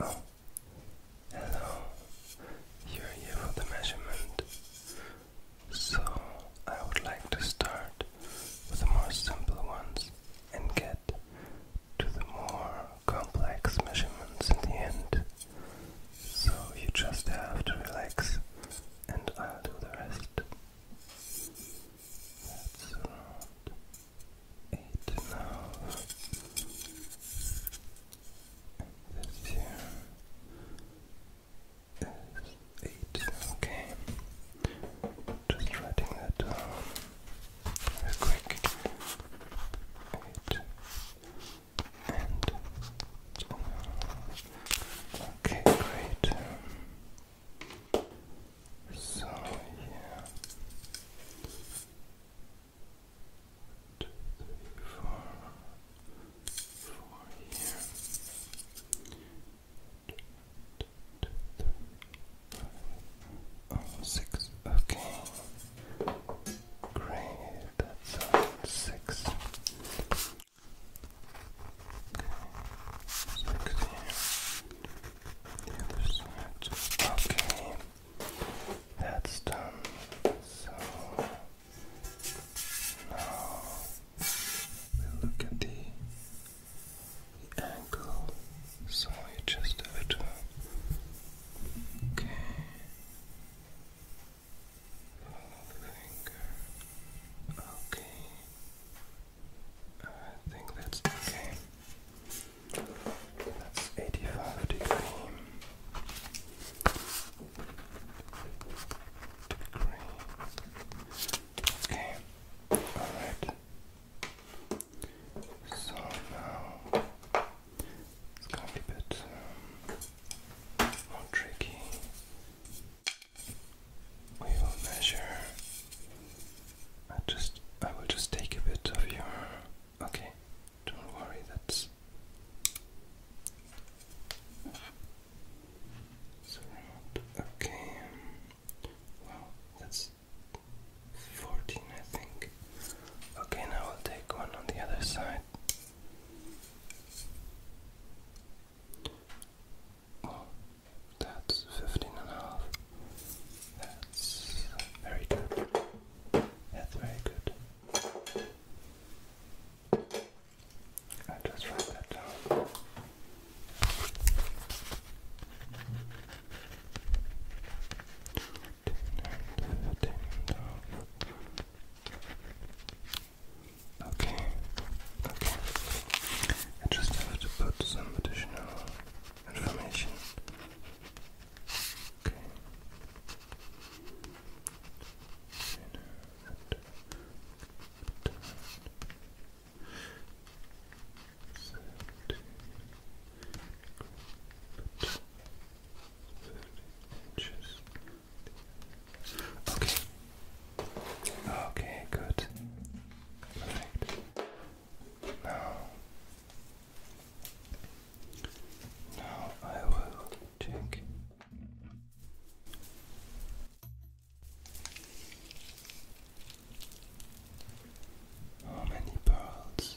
Oh, hello. You're here for the measurement. So, I would like to start with the more simple ones and get to the more complex measurements in the end. So, you just have to relax and I'll do the rest. That's around Eight now. this here is eight. Okay. Just writing that down quick. Eight. Oh, okay, great. So, yeah. Two, three, four, four here. Two, two, three, five, oh, six. Okay. Great. That's six so the other side. Okay, that's done. So now we look at the, the So you just have to. Okay. Follow the finger. Okay. I think that's okay. That's 85 degree. Okay. Alright. So now it's going to be a bit um, more tricky. We will measure. I just, I will just take a bit of your. Okay, don't worry. That's okay. Wow, that's fourteen, I think. Okay, now I'll take one on the other side. Oh, that's fifteen and a half. That's very good. That's very good. i just write that down. Okay, okay. I just have to put some additional information. Okay. Okay. Okay, good. Perfect. Now, now I will check. How many pearls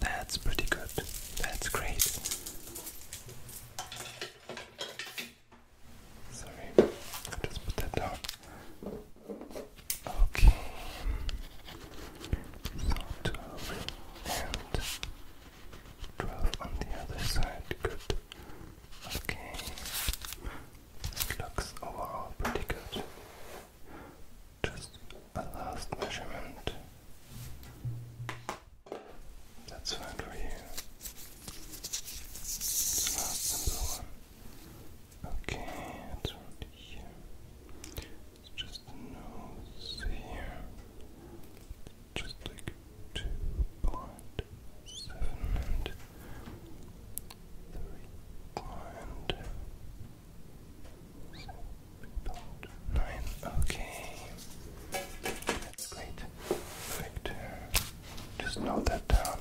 That's pretty good. That's great. Sorry, i just put that down. Okay. So 12 and 12 on the other side. Good. Okay. looks overall pretty good just a last measurement. That's fine for you. It's not one. Okay, it's right here. It's just the nose here. Just like two point seven and three point Nine. Okay. That's great. Perfect. Just note that down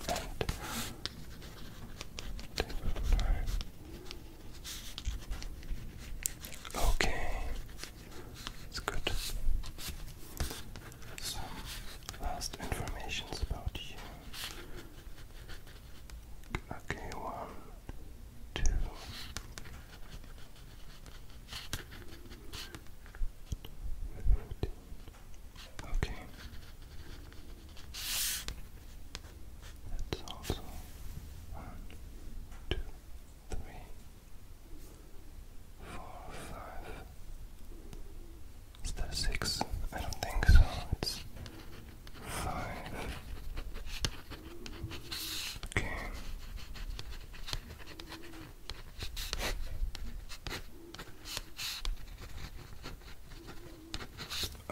Okay. That's good. Some last informations about you. Okay, one, two. Okay. That's also one, two, three, four, five, is that six? I don't think so. It's five. Okay.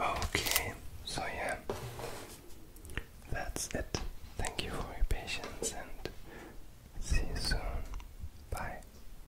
Okay, so yeah, that's it. Thank you for your patience and see you soon. Bye.